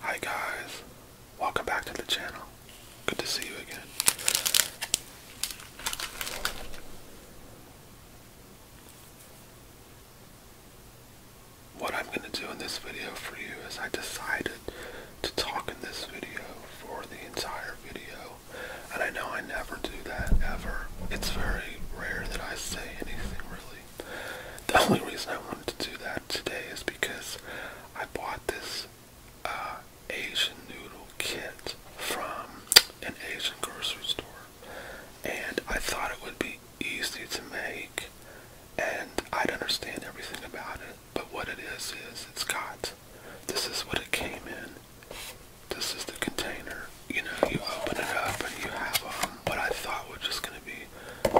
Hi guys, welcome back to the channel. Good to see you again. What I'm going to do in this video for you is I decided to talk in this video for the entire video and I know I never do that ever. It's very rare that I say anything really. The only reason I wanted to do that today is because I bought this uh, Asian noodle kit from an Asian grocery store. And I thought it would be easy to make and I'd understand everything about it. But what it is, is it's got, this is what it came in this is the container. You know, you open it up and you have um, what I thought was just going to be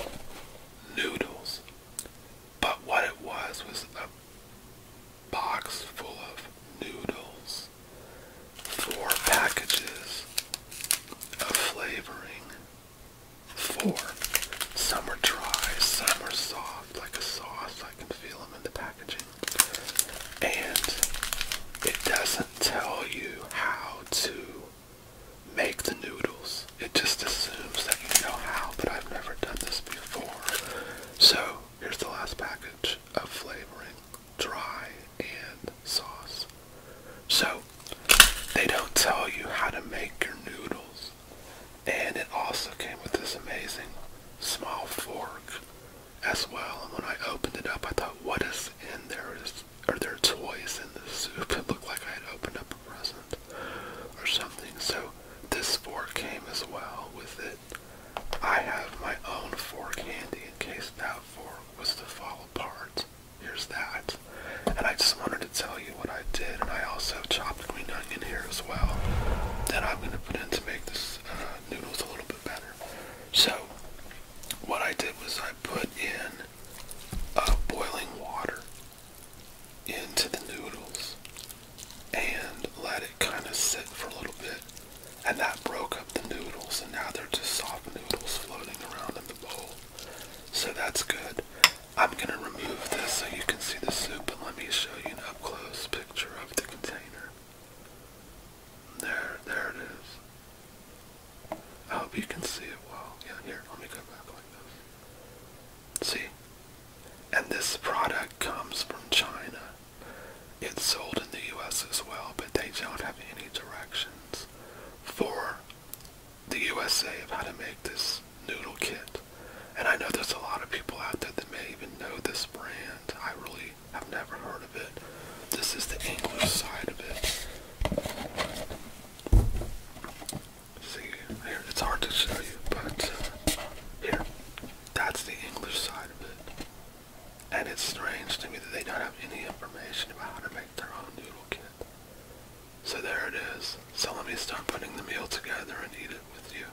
noodles. But what it was was a box full of noodles, four packages of flavoring, four. Some are dry, some are soft, like a sauce. I can feel them in the packaging and it doesn't tell you how to make the noodles. It just assumes that you know how, but I've never done this before. So here's the last package of flavoring, dry and sauce. So they don't tell you how to make your noodles. And it also came with this amazing small fork as well. And when I opened it up, I thought, what is in there? Is, are there toys in the soup? It looked like I had opened up a present or something. So this fork came as well with it. I have my own fork handy in case that fork was to fall apart. Here's that. And I just wanted to tell you what I did. And I also chopped green onion here as well. Then I'm going to put in to make this uh, noodles a little bit better. So, what I did was I put in uh, boiling water into the noodles and let it kind of sit for a little bit. And that broke up the noodles, and now they're just soft noodles floating around in the bowl. So that's good. I'm going to remove this so you can see the soup, and let me show you an up close picture picture of the container. There, there it is. I hope you can see it well. Yeah, here, let me go back like this. See? And this product comes from China. It's sold in the US as well, but they don't have any directions for the USA of how to make this noodle kit. And I know there's a lot of people out there that may even know this brand. I really have never heard of it. This is the English side of it. See, it's hard to show you, but uh, here, that's the English side of it. And it's strange to me that they don't have any information about how to make their own noodle kit. So there it is. So let me start putting the meal together and eat it with you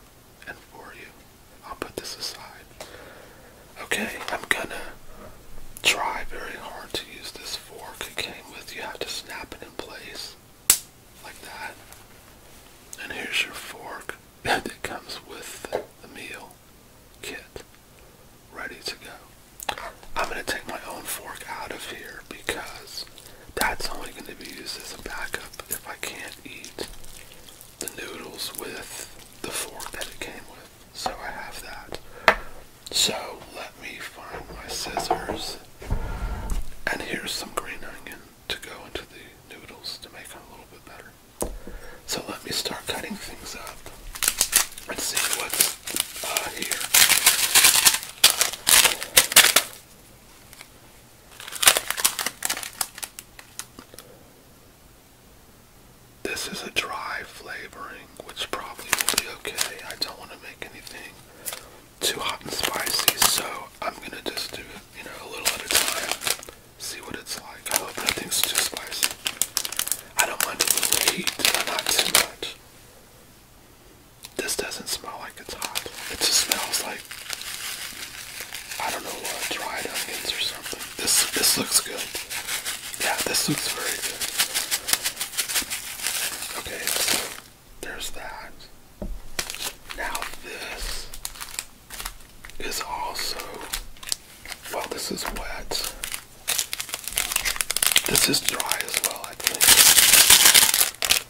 and for you. I'll put this aside. Okay, I'm gonna try very hard to use this fork it came with. You have to snap it in place like that. And here's your fork that comes with the meal kit ready to go. I'm going to take my own fork out of here because that's only going to be used as a backup if I can't eat the noodles with the fork that it came with. So I have that. So let me find my scissors. And here's some green onion to go into the noodles to make them a little bit better. So let me start cutting things up and see what's uh, here. This is a dry flavoring, which probably will be okay. I don't want to make anything too hot and spicy, so I'm gonna just do it, you know, a little at a time. See what it's like. I hope nothing's too spicy. I don't want a little heat, but not too much. This doesn't smell like it's hot. It just smells like I don't know what dried onions or something. This this looks good. Yeah, this looks very good. Okay, so there's that. Now this is also well this is wet. This is dry as well, I think.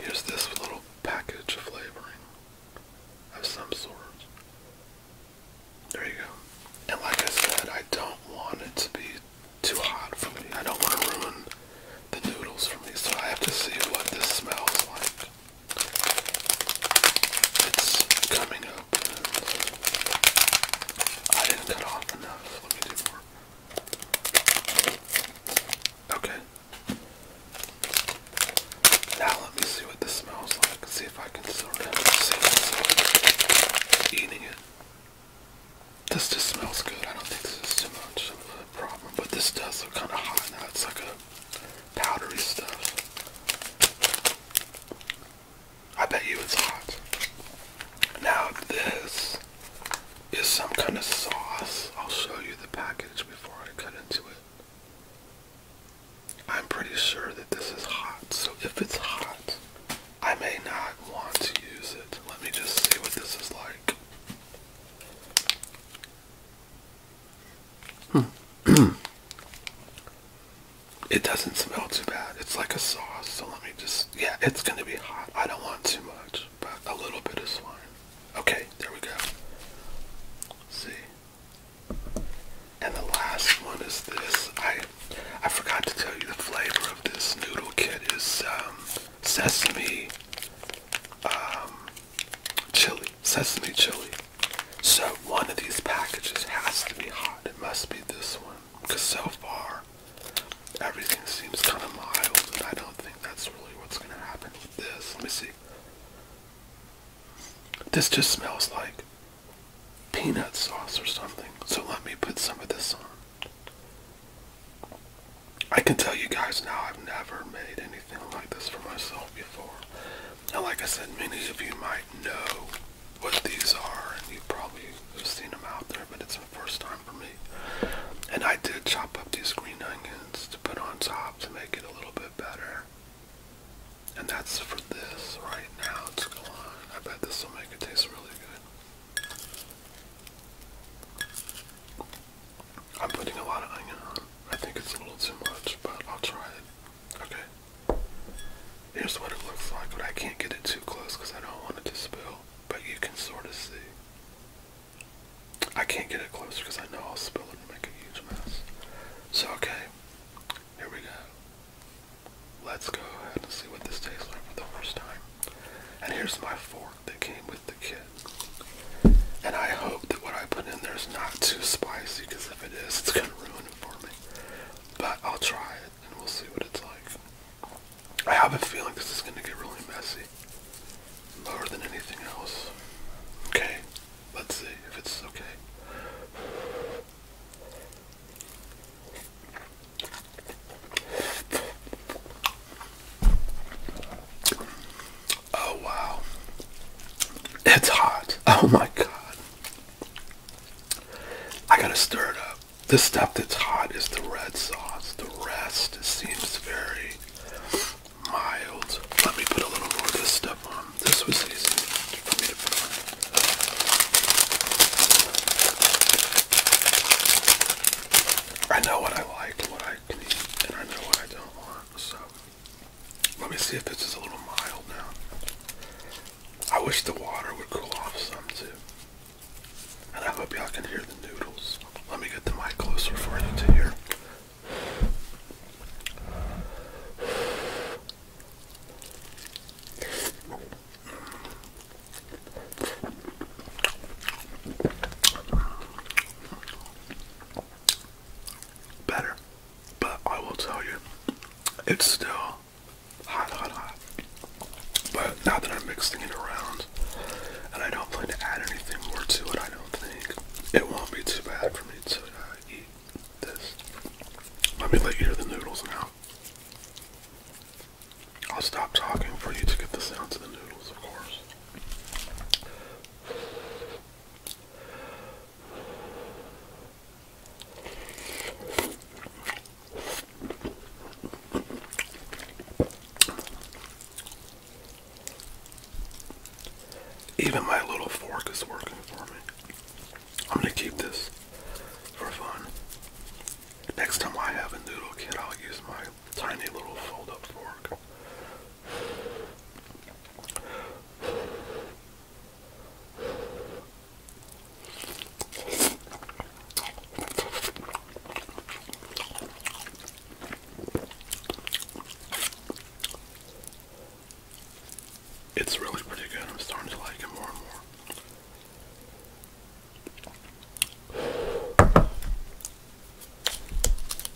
Here's this little package of flavoring of some sort. There you go. And like I said, I don't want it to be too hot for me. I don't want to ruin the noodles for me, so I have to see what this smells like. It's coming open. I didn't cut off enough. Let me do more. Okay. Now let me see what this smells like. See if I can sort of see myself eating it. This just smells good. I don't think this is too much of a problem, but this does look kind of hot now. It's like a powdery stuff. I bet you it's hot. Now this is some kind of sauce. I'll show you the package before I cut into it. I'm pretty sure that this is hot, so if it's hot, I may not want to use it. Let me just see what this is like. Hmm. it doesn't smell too bad. It's like a sauce, so let me just yeah, it's gonna be hot. I don't want too much, but a little bit of fine. Okay, there we go. see. And the last one is this. I I forgot to tell you the flavor of this noodle kit is um, sesame um, chili. Sesame chili. So one of these packages has to be hot. It must be this one. Because so far, everything seems kind of mild, and I don't think that's really what's going to happen with this. Let me see. This just smells like peanut sauce or something, so let me put some of this on. I can tell you guys now I've never made anything like this for myself before. And like I said, many of you might know what these are, and you probably have seen them out there, but it's my first time and I did chop up these green onions to put on top to make it a little bit better. And that's for this right now. It's going. I bet this will make it taste really good. I'm putting a lot of onion on. I think it's a little too much, but I'll try it. Okay. Here's what it looks like, but I can't get it too close because I don't want it to spill but you can sort of see. I can't get it closer because I know I'll spill it and make a huge mess. So, okay, here we go. Let's go ahead and see what this tastes like for the first time. And here's my fork that came with the kit. And I hope that what I put in there is not too spicy because if it is, it's going to ruin it for me. But I'll try it and we'll see what it's like. I have a feeling this is going to get really messy. More than anything else. Okay, let's see if it's okay. Oh wow. It's hot. Oh my god. I gotta stir it up the stuff that's hot is the red sauce. The rest seems very mild. Let me put a little more of this stuff on. This was easy I know what I like, what I can eat, and I know what I don't want. So let me see if this is a little mild now. I wish the water would cool off some too. And I hope y'all can hear the noodles. Let me get the mic closer for you to hear. Better, but I will tell you, it's still hot, hot, hot. But now that I'm mixing it around, and I don't plan to add anything more to it, I don't think it won't be too bad for me to uh, eat this. Let me let you hear the noodles now. I'll stop talking for you to get the sound of the noodles, of course. Even my little fork is working for me. I'm gonna keep this for fun. Next time I have a noodle kit, I'll use my tiny little fold up fork. It's really pretty good. I'm starting to like it more and more.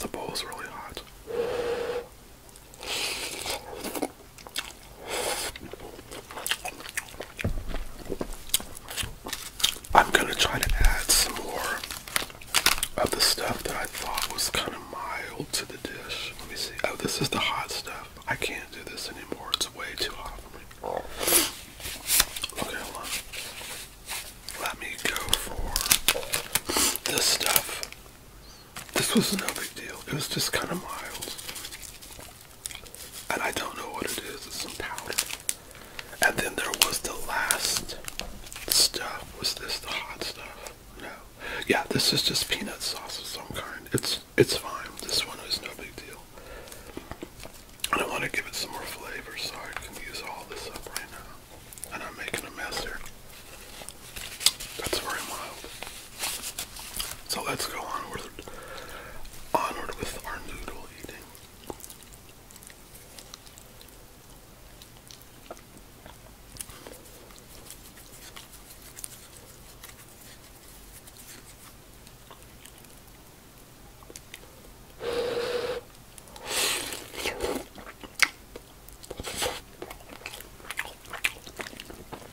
The bowl's really hot. I'm gonna try to add some more of the stuff that I thought was kind of mild to the dish. Let me see. Oh, this is the hot stuff. I can't do this anymore. It's way too hot for me. Okay, Let me go for this stuff. This was no big deal. It was just kind of mild and I don't know what it is. It's some powder. And then there was the last stuff. Was this the hot stuff? No. Yeah, this is just peanut sauce of some kind. It's it's fine. This one is no big deal. And I want to give it some more flavor, so I can use all this up right now. And I'm making a mess here. That's very mild. So let's go onward, onward with our noodle eating.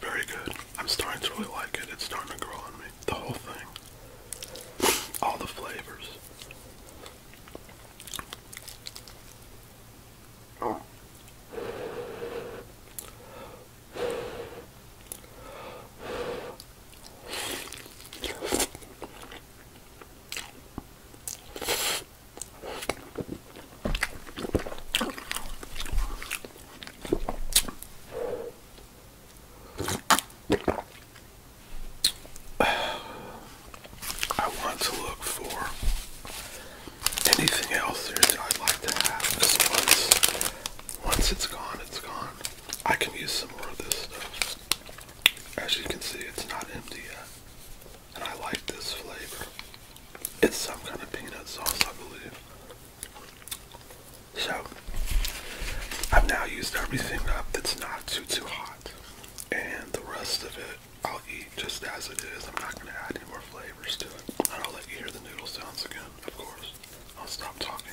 Very good. I'm starting to really like it. It's starting to grow on me. The whole thing. All the flavors. Oh. I want to look for anything else here that I'd like to have. once, once it's gone, it's gone. I can use some more of this stuff. As you can see, it's not empty yet and I like this flavor. It's some kind of peanut sauce, I believe. So, I've now used everything up that's not too, too hot. And the rest of it, I'll eat just as it is. I'm not going to add any more flavors to it. And I'll let hear the noodle sounds again, of course. I'll stop talking.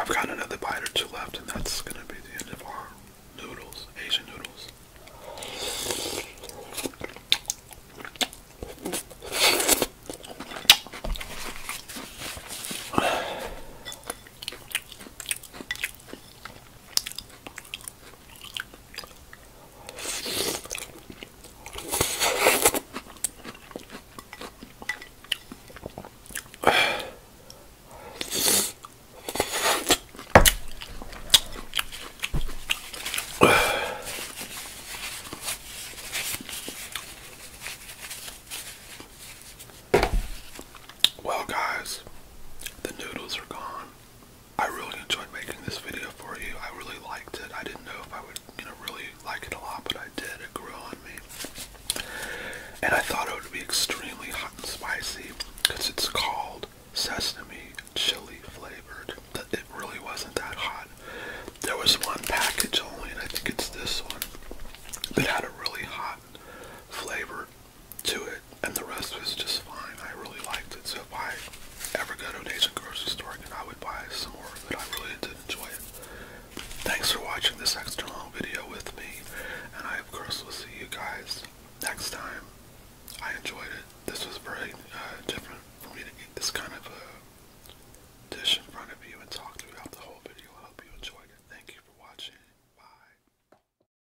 I've got another bite or two left, and that's going to be the end of our noodles, Asian noodles. Well, guys, the noodles are gone. I really enjoyed making this video for you. I really liked it. I didn't know if I would, you know, really like it a lot, but I did. It grew on me. And I thought it would be extremely hot and spicy because it's called sesame chili flavored. But It really wasn't that hot. There was one package only, and I think it's this one, that had a really hot flavor to it, and the rest was just fine. I really liked it. So if I ever go to an Asian grocery store again, I would buy some more of I really did enjoy it. Thanks for watching this extra long video with me, and I of course will see you guys next time. I enjoyed it. This was very uh, different for me to eat this kind of a dish in front of you and talk throughout the whole video. I hope you enjoyed it. Thank you for watching. Bye.